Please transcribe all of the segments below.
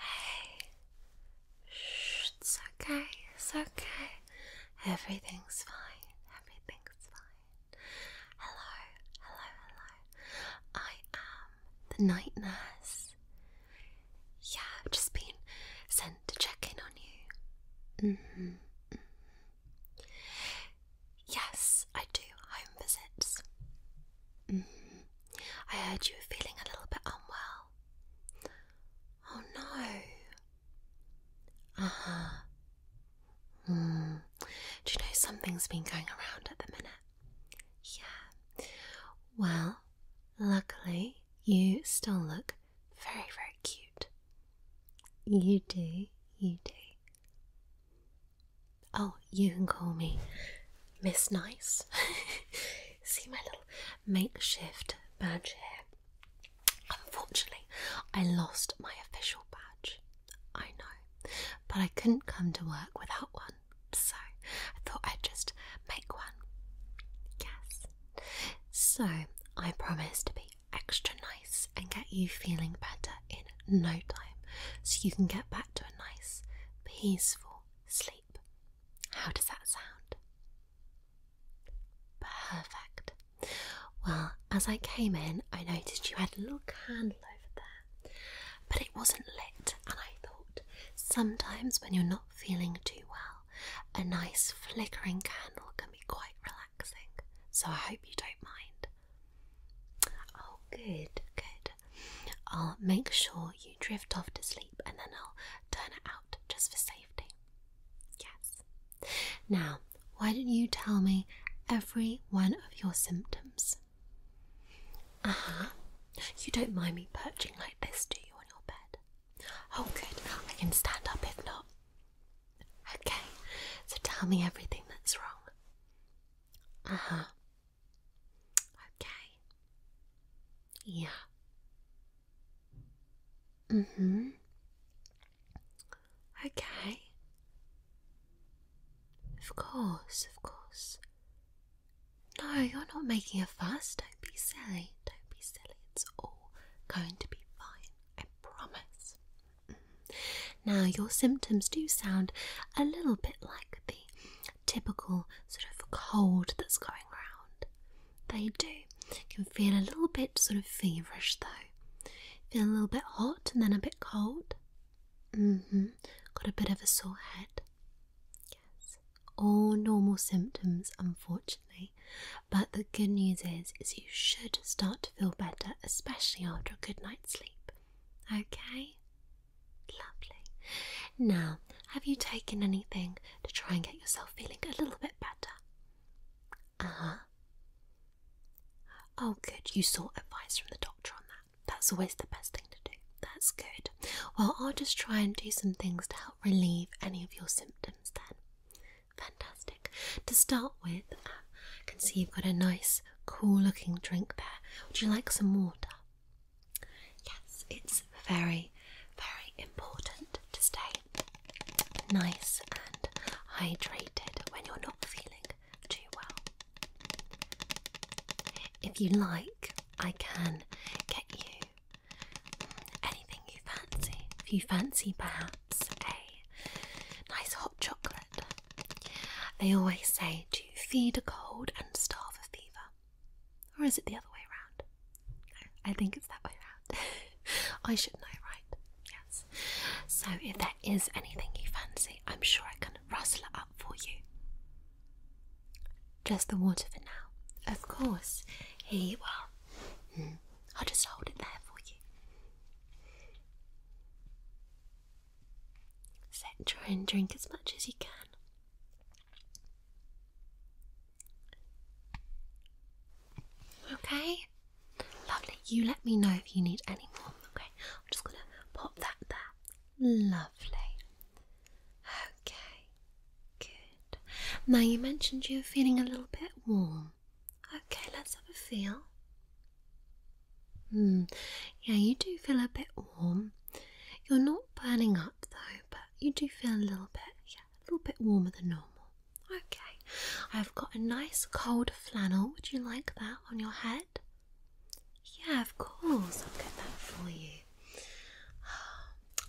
Hey, it's okay, it's okay. Everything's fine, everything's fine. Hello, hello, hello. I am the night nurse. Yeah, I've just been sent to check in on you. Mm-hmm, mm-hmm. Yes, I do home visits. Mm-hmm. I heard you were feeling a little bit unwell. Oh no. Uh Hmm. Do you know something's been going around at the minute? Yeah. Well, luckily, you still look very, very cute. You do, you do. Oh, you can call me Miss Nice. See my little makeshift badge here. Unfortunately, I lost my official badge. I know, but I couldn't come to work without one, so I thought I'd just make one. Yes. So I promise to be extra nice and get you feeling better in no time so you can get back to a nice, peaceful, sleep. How does that sound? Perfect. Well, as I came in, I noticed you had a little candle over there, but it wasn't lit, and I thought sometimes when you're not feeling too well, a nice flickering candle can be quite relaxing. So I hope you don't mind. Oh, good, good. I'll make sure you drift off to sleep and then I'll turn it out just for safety. Yes. Now, why did not you tell me every one of your symptoms? Uh huh. You don't mind me perching like this, do you, on your bed? Oh, good. I can stand up if not. Okay, so tell me everything that's wrong. Uh huh. Okay. Yeah. Mm hmm. Okay. Of course, of course. No, you're not making a fuss. Don't be silly. Don't be silly. It's all going to be fine. I promise. Mm-hmm. Now, your symptoms do sound a little bit like the typical sort of cold that's going around. They do. Can feel a little bit sort of feverish though. Feel a little bit hot and then a bit cold. Mm-hmm. Got a bit of a sore head. Yes. All normal symptoms, unfortunately. But the good news is, is you should start to feel better, especially after a good night's sleep. Okay? Lovely. Now, have you taken anything to try and get yourself feeling a little bit better? Uh Oh, good. You sought advice from the doctor on that. That's always the best thing to do. That's good. Well, I'll just try and do some things to help relieve any of your symptoms then. Fantastic. To start with, uh, I can see you've got a nice cool looking drink there. Would you like some water? Yes, it's very, very important to stay nice and hydrated when you're not feeling too well. If you like, I can get you anything you fancy. If you fancy perhaps a nice hot chocolate they always say to feed a cold and starve a fever. Or is it the other way around? I think it's that way around. I should know, right? Yes. So if there is anything you fancy, I'm sure I can rustle it up for you. Just the water for now. Of course. Here you are. I'll just hold it there for you. Sit, try and drink as much as you can. Okay, lovely. You let me know if you need any more. Okay, I'm just gonna pop that there. Lovely. Okay, good. Now you mentioned you are feeling a little bit warm. Okay, let's have a feel. Hmm, yeah, you do feel a bit warm. You're not burning up though, but you do feel a little bit, yeah, a little bit warmer than normal. Okay, I've got a nice cold flannel. Would you like that on your head? Yeah, of course, I'll get that for you.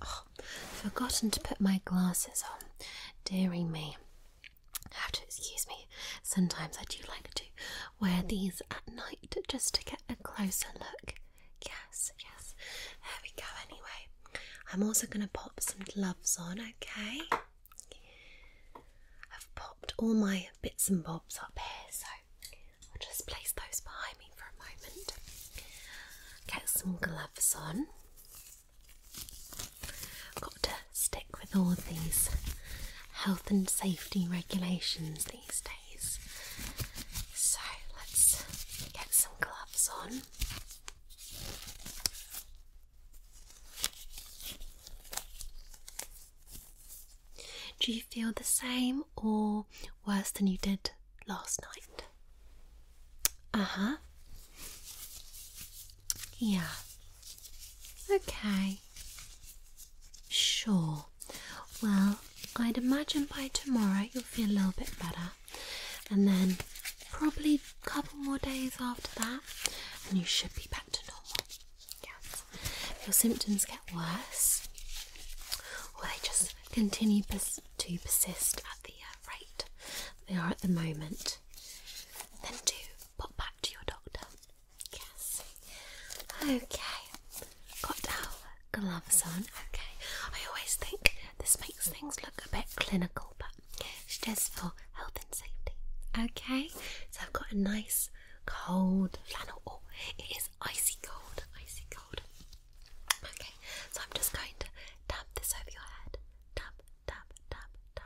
Oh, forgotten to put my glasses on. Dearie me. have to excuse me. Sometimes I do like to wear these at night just to get a closer look. Yes, yes. There we go, anyway. I'm also going to pop some gloves on, okay? I've popped all my bits and bobs up here, so I'll just place those behind me for a moment. Get some gloves on. Got to stick with all these health and safety regulations these days. So let's get some gloves on. Do you feel the same or worse than you did last night? Uh huh. Yeah. Okay. Sure. Well, I'd imagine by tomorrow you'll feel a little bit better, and then probably a couple more days after that, and you should be back to normal. Yes. If your symptoms get worse, or they just continue to persist at the uh, rate they are at the moment, then do pop back to your doctor Yes. Okay. Got our gloves on. Okay. I always think this makes things look a bit clinical, but it's just for health and safety. Okay. So I've got a nice cold flannel. Oh, it is icy cold. Icy cold. Okay. So I'm just going to tap this over your head. Tap, tap, tap, tap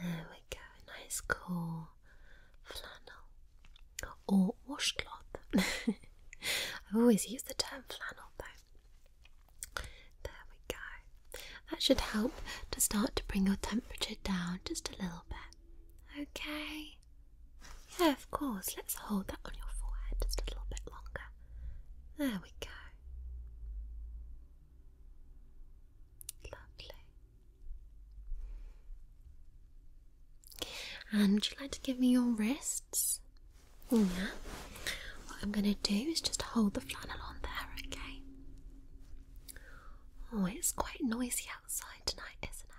there we go, nice cool flannel or washcloth. i always use the term flannel though. There we go. That should help to start to bring your temperature down just a little bit. Okay. Yeah, of course. Let's hold that on your forehead just a little bit longer. There we go. Lovely. And would you like to give me your wrists? Yeah. What I'm going to do is just hold the flannel on there, okay? Oh, it's quite noisy outside tonight, isn't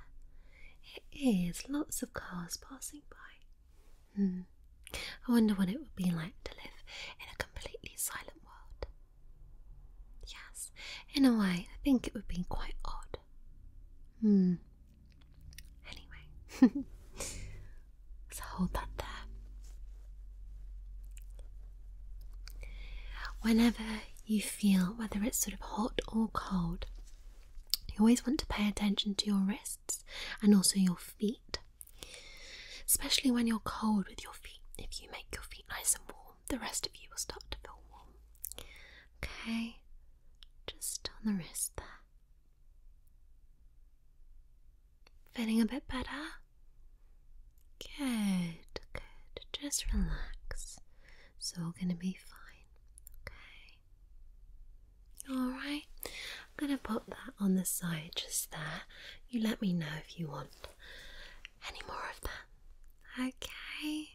it? It is. Lots of cars passing by. Hmm. I wonder what it would be like to live in a completely silent world. Yes, in a way, I think it would be quite odd. Hmm. Anyway, so hold that there. Whenever you feel, whether it's sort of hot or cold, you always want to pay attention to your wrists and also your feet. Especially when you're cold with your feet. If you make your feet nice and warm, the rest of you will start to feel warm. Okay, just on the wrist there. Feeling a bit better? Good, good. Just relax. It's all going to be fine. Okay. Alright. I'm going to put that on the side just there. You let me know if you want any more of that. Okay.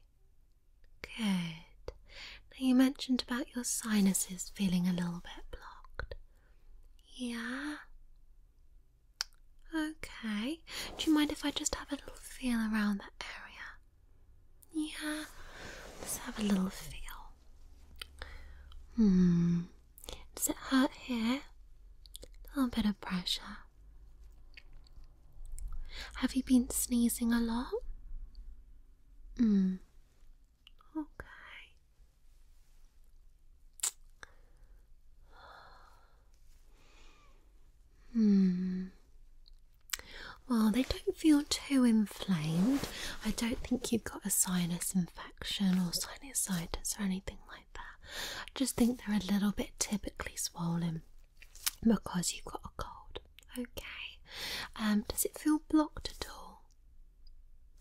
Good. Now, you mentioned about your sinuses feeling a little bit blocked. Yeah? Okay. Do you mind if I just have a little feel around that area? Yeah? Let's have a little feel. Hmm. Does it hurt here? A little bit of pressure. Have you been sneezing a lot? Hmm. Okay. Hmm. Well, they don't feel too inflamed. I don't think you've got a sinus infection or any sinusitis or anything like that. I just think they're a little bit typically swollen because you've got a cold. Okay. Um, does it feel blocked at all?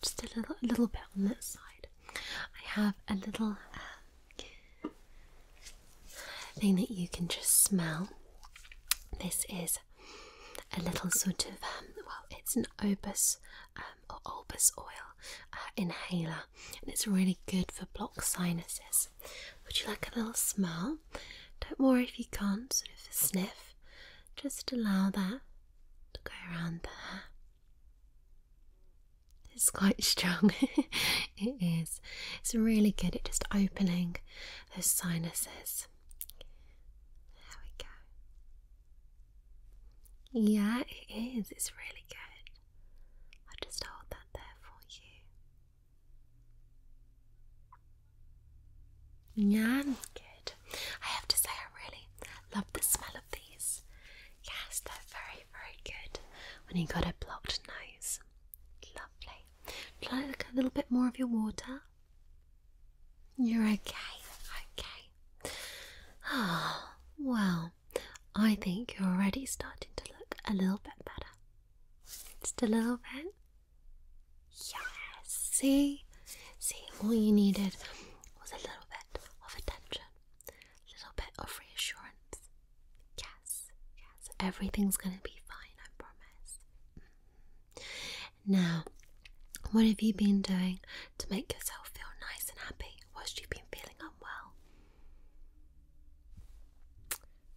Just a little, a little bit on that side. I have a little uh, thing that you can just smell. This is a little sort of um, well, it's an opus um, or Albus oil uh, inhaler, and it's really good for blocked sinuses. Would you like a little smell? Don't worry if you can't, sort of sniff, just allow that to go around there. It's quite strong, it is. It's really good at just opening those sinuses. There we go. Yeah, it is. It's really good. i just hold that there for you. Yeah, good. I have to say, I really love the smell of these. Yes, they're very, very good when you got a blocked nose. Lovely. Try like a little bit more of your water. You're okay, okay. Oh, well, I think you're already starting to look a little bit better. Just a little bit. Yes, see? See, all you needed was a little bit of attention, a little bit of reassurance. Yes, yes, everything's gonna be fine, I promise. Mm-hmm. Now, what have you been doing to make yourself feel nice and happy whilst you've been feeling unwell?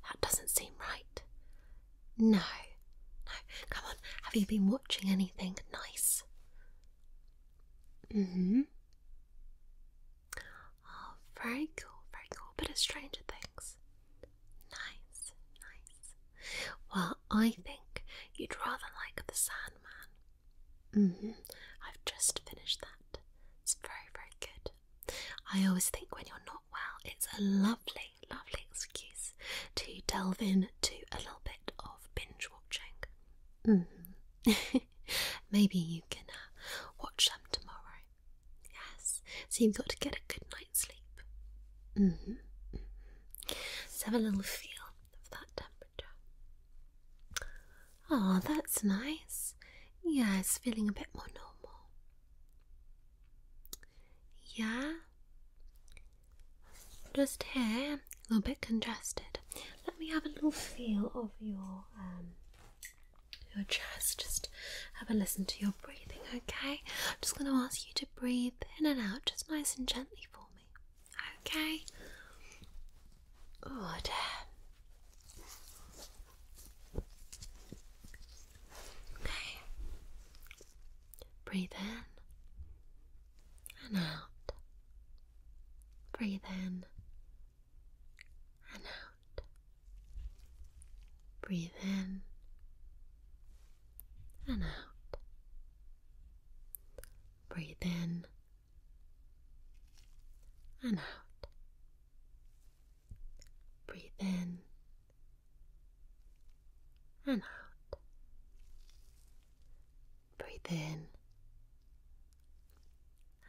That doesn't seem right. No, no, come on, have you been watching anything nice? Mm hmm. Oh, very cool, very cool. Bit of Stranger Things. Nice, nice. Well, I think you'd rather like the Sandman. Mm-hmm. I've just finished that. It's very, very good. I always think when you're not well, it's a lovely, lovely excuse to delve in to a little bit of binge watching. Mm-hmm. Maybe you can uh, watch them tomorrow. Yes. So you've got to get a good night's sleep. Mm Let's have a little feel of that temperature. Oh, that's nice. Yeah, it's feeling a bit more normal. Yeah. Just here, a little bit congested. Let me have a little feel of your um, your chest. Just have a listen to your breathing, okay? I'm just going to ask you to breathe in and out, just nice and gently completely for me. Okay. Good. Okay. Breathe in and out. Breathe in and out. Breathe in and out. Breathe in and out. Breathe in and out. Breathe in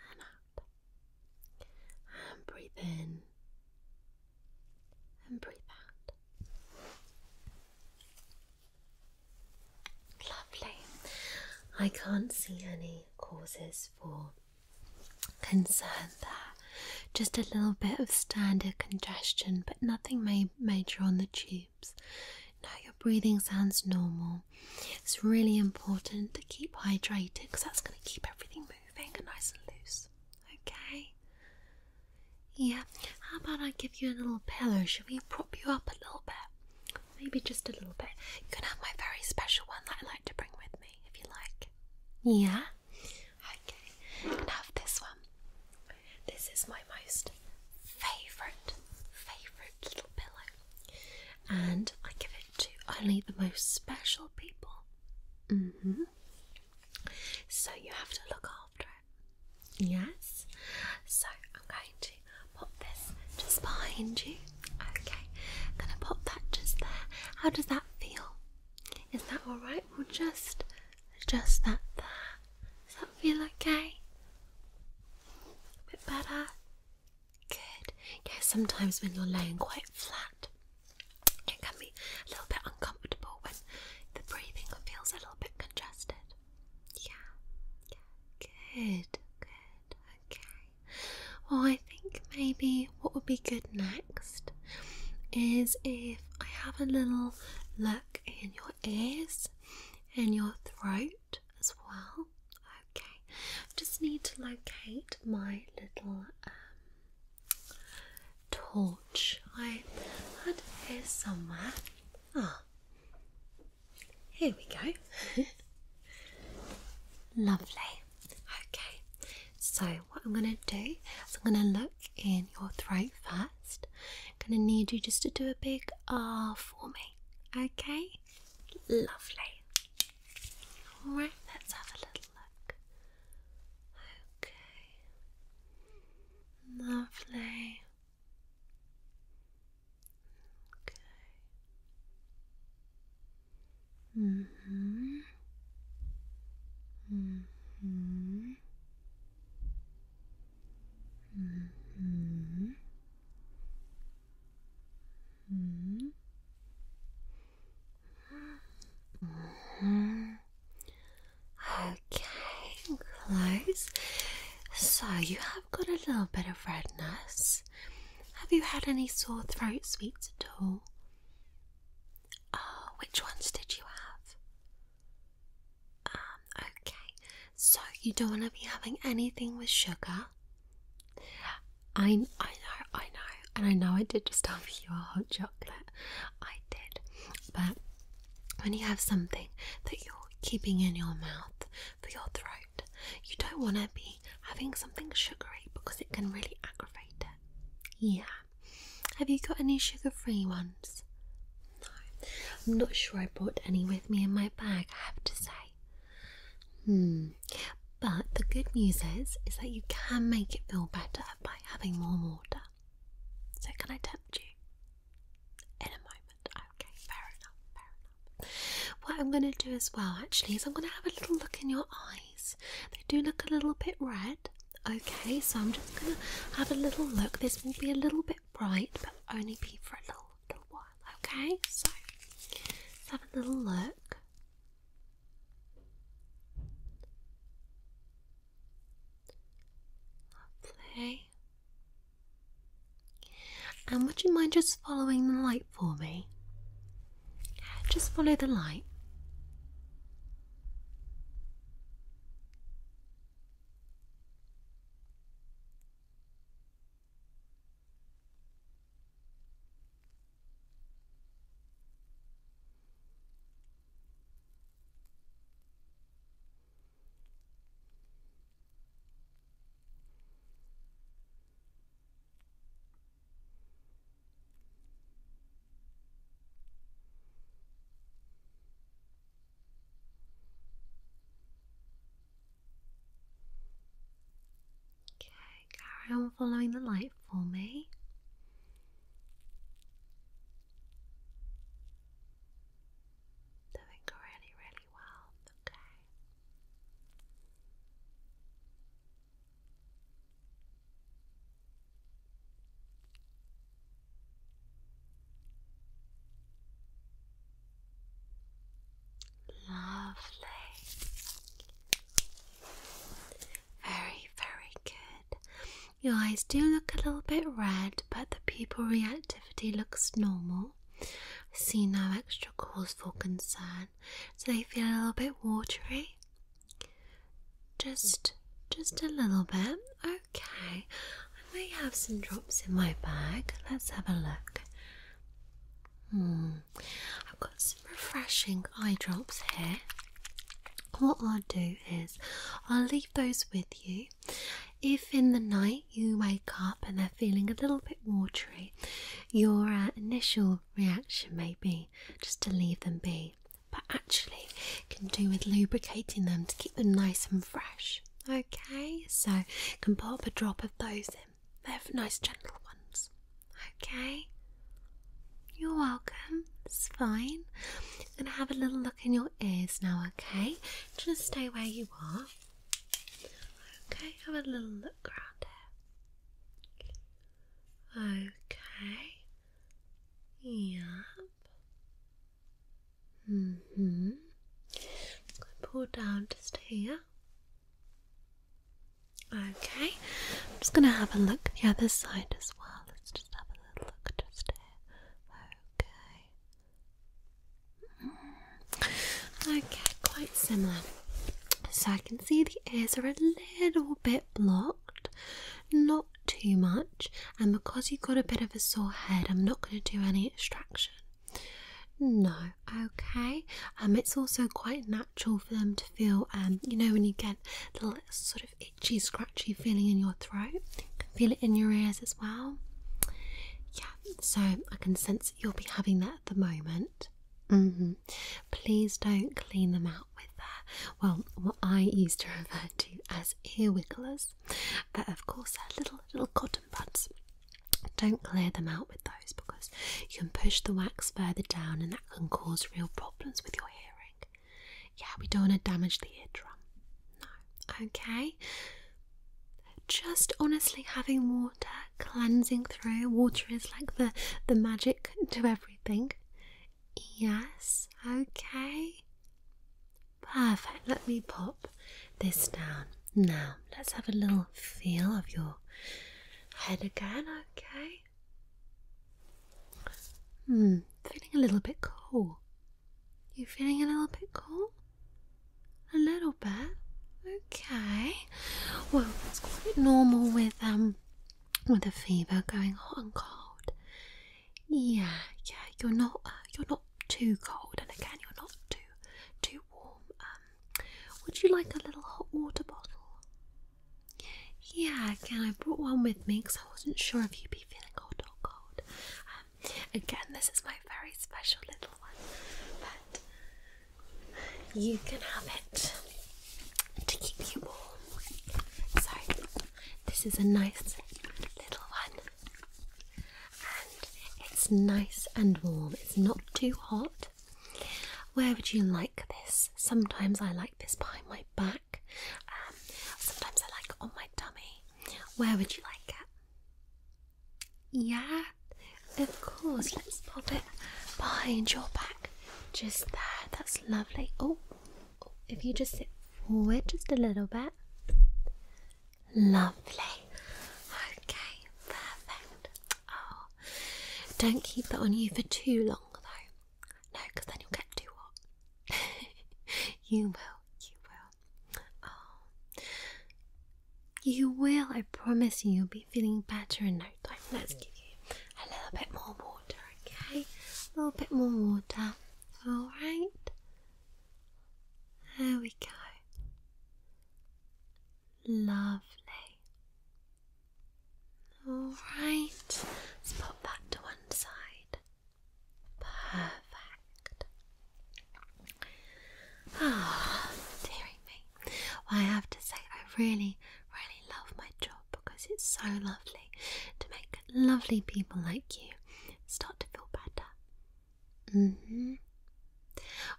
and out. And breathe in and breathe out. Lovely. I can't see any causes for concern there. Just a little bit of standard congestion, but nothing major on the tubes. Now your breathing sounds normal. It's really important to keep hydrated because that's going to keep everything moving and nice and loose. Okay? Yeah, how about I give you a little pillow? Should we prop you up a little bit? Maybe just a little bit. You can have my very special one that I like to bring with me if you like. Yeah? Okay, you can have this one. This is my most favourite, favourite little pillow. And I give it to only the most special people. hmm. So you have to look after it. Yes? So I'm going to pop this just behind you. Okay. I'm gonna pop that just there. How does that feel? Is that alright? We'll just adjust that there. Does that feel okay? A bit better? Good. Yeah, sometimes when you're laying quite flat, it can be a little bit uncomfortable when the breathing feels a little bit congested. Yeah, Good, good. Okay. Well, I think maybe what would be good next is if I have a little look in your ears and your throat as well. Okay. Just need to locate my little um, torch I had here somewhere. Ah, here we go. Lovely. Okay, so what I'm going to do is I'm going to look in your throat first. I'm going to need you just to do a big R for me. Okay, lovely. Alright, let's have a little look. Okay. Lovely. Okay. Mm hmm. hmm. hmm. hmm. -hmm. Okay, close. So you have got a little bit of redness. Have you had any sore throat sweets at all? Oh, which ones did you have? Um, okay. So you don't want to be having anything with sugar. I I know, I know, and I know I did just have you a hot chocolate. I did. But when you have something that you're keeping in your mouth for your throat, you don't want to be having something sugary because it can really aggravate it. Yeah. Have you got any sugar free ones? No. I'm not sure I brought any with me in my bag, I have to say. Hmm. But the good news is is that you can make it feel better by having more water. So can I tempt you? In a moment. Okay, fair enough, fair enough. What I'm going to do as well, actually, is I'm going to have a little look in your eyes. They do look a little bit red. Okay, so I'm just going to have a little look. This will be a little bit bright, but only be for a little, while. Okay, so have a little look. Lovely. And would you mind just following the light for me? Just follow the light. Okay, carry on following the light for me. Doing really, really well, okay. Lovely. Very, very good. Your eyes do look a little bit red, but the pupil reactivity looks normal. see no extra cause for concern. Do they feel a little bit watery. Just just a little bit. Okay. I may have some drops in my bag. Let's have a look. Hmm. I some refreshing eye drops here. What I'll do is I'll leave those with you. If in the night you wake up and they're feeling a little bit watery, your uh, initial reaction may be just to leave them be, but actually can do with lubricating them to keep them nice and fresh. Okay, so can pop a drop of those in. They're nice, gentle ones. Okay? You're welcome. It's fine. i going to have a little look in your ears now, okay? Just stay where you are. Okay, have a little look around here. Okay. Yep. hmm. going to pull down just here. Okay, I'm just going to have a look the other side as well. Let's just have a little look just here. Okay. Mm. Okay, quite similar. So I can see the ears are a little bit blocked, not too much, and because you've got a bit of a sore head, I'm not going to do any extraction. No, okay. Um, it's also quite natural for them to feel, um, you know, when you get the little sort of itchy, scratchy feeling in your throat, feel it in your ears as well. Yeah, so I can sense you'll be having that at the moment. Mm-hmm. Please don't clean them out with that. Uh, well, what I used to refer to as ear wigglers, but of course they're uh, little little cotton buds. Don't clear them out with those because you can push the wax further down and that that can cause real problems with your hearing. Yeah, we don't want to damage the eardrum. No. Okay. Just honestly having water cleansing through. Water is like the, the magic to everything. Yes, okay. Perfect. Let me pop this down. Now, let's have a little feel of your head again, okay? Hmm, feeling a little bit cool. You feeling a little bit cool? A little bit? Okay. Well, that's quite normal with um with a fever going hot and cold. Yeah, yeah, you're not uh, you're not too cold and again you're not too too warm. Um would you like a little hot water bottle? Yeah, again, I brought one with me because I wasn't sure if you'd be feeling hot or cold. Um, again, this is my very special little one, but you can have it to keep you warm. So, this is a nice little one, and it's nice and warm, it's not too hot. Where would you like this? Sometimes I like this behind my back. Um, sometimes I like it on my dummy. Where would you like it? Yeah, of course. Let's pop it behind your back. Just there. That's lovely. Oh, oh if you just sit forward just a little bit. Lovely. Okay, perfect. Oh, don't keep that on you for too long though. No, then you'll get too hot. you will, you will. Oh. You will, I promise you, you'll be feeling better in no time. Let's give you a little bit more water, okay? A little bit more water. Alright. There we go. Lovely. Alright, let's pop that to one side. Perfect. Ah, oh, me. I have to say, I really, really love my job because it's so lovely to make lovely people like you start to feel better. hmm.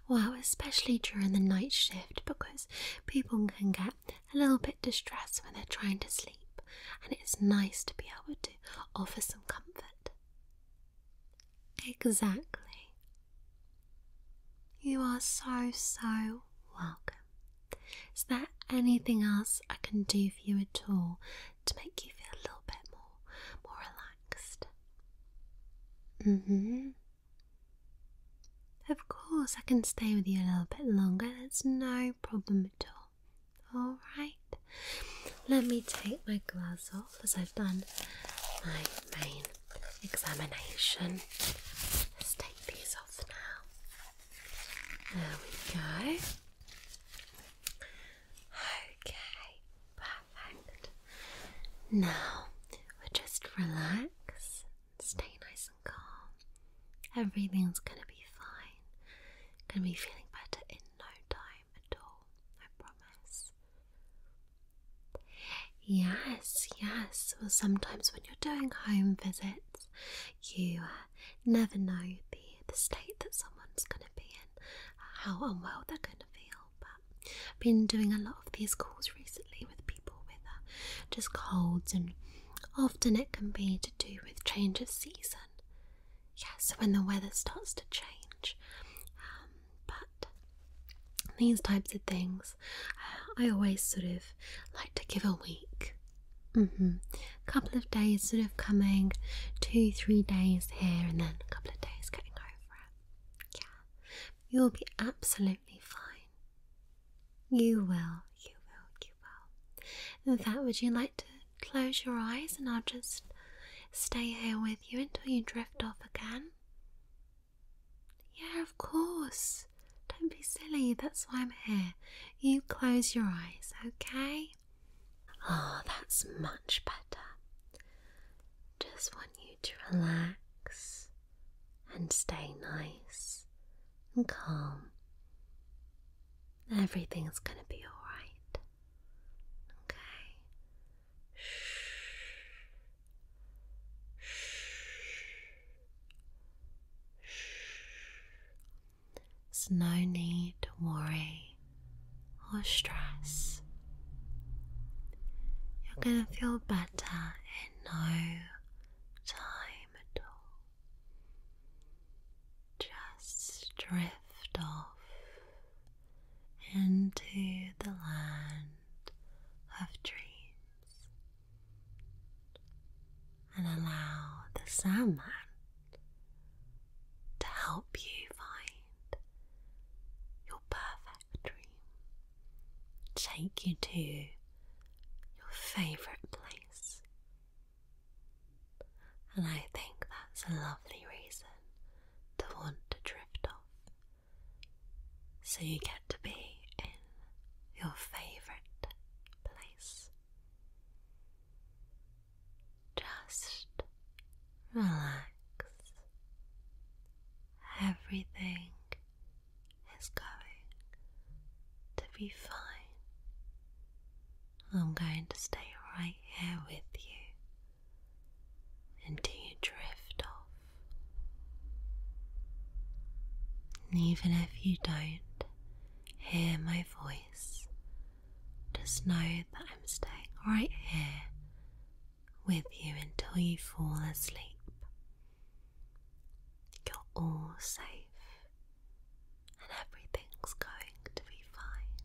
Well, especially during the night shift because people can get a little bit distressed when they're trying to sleep, and it's nice to be able to offer some comfort. Exactly. You are so, so welcome. Is there anything else I can do for you at all to make you feel a little bit more, more relaxed? Mm-hmm. Of course, I can stay with you a little bit longer, that's no problem at all. Alright, let me take my gloves off as I've done my main examination. Let's take these off now. There we go. Okay, perfect. Now, we'll just relax Stay nice and calm. Everything's gonna be fine. Gonna be feeling better in no time at all. I promise. Yes, yes. Well, sometimes when you're doing home visits, you uh, never know the the state that someone's gonna be in, how unwell they're gonna feel. But I've been doing a lot of these calls recently with people weather, uh, just colds, and often it can be to do with change of season. Yes, yeah, so when the weather starts to change. Um, but these types of things, uh, I always sort of like to give a week. A mm-hmm. couple of days sort of coming, two, three days here, and then a couple of days getting over it. Yeah, you'll be absolutely fine. You will, you will, you will. In fact, would you like to close your eyes and I'll just stay here with you until you drift off again? Yeah, of course. Don't be silly, that's why I'm here. You close your eyes, okay? Ah, oh, that's much better. Just want you to relax and stay nice and calm. Everything's going to be alright. Okay? Shh. Shh. Shh. There's no need to worry or stress. You're going to feel better no time at all. Just drift off into the land of dreams and allow the Sandman to help you find your perfect factory, take you to your favourite place. And I think that's a lovely reason to want to drift off. So you get to be in your favourite place. Just relax Everything is going to be fine. I'm going to stay right here with you until you drift off. And even if you don't hear my voice, just know that I'm staying right here with you until you fall asleep. You're all safe and everything's going to be fine.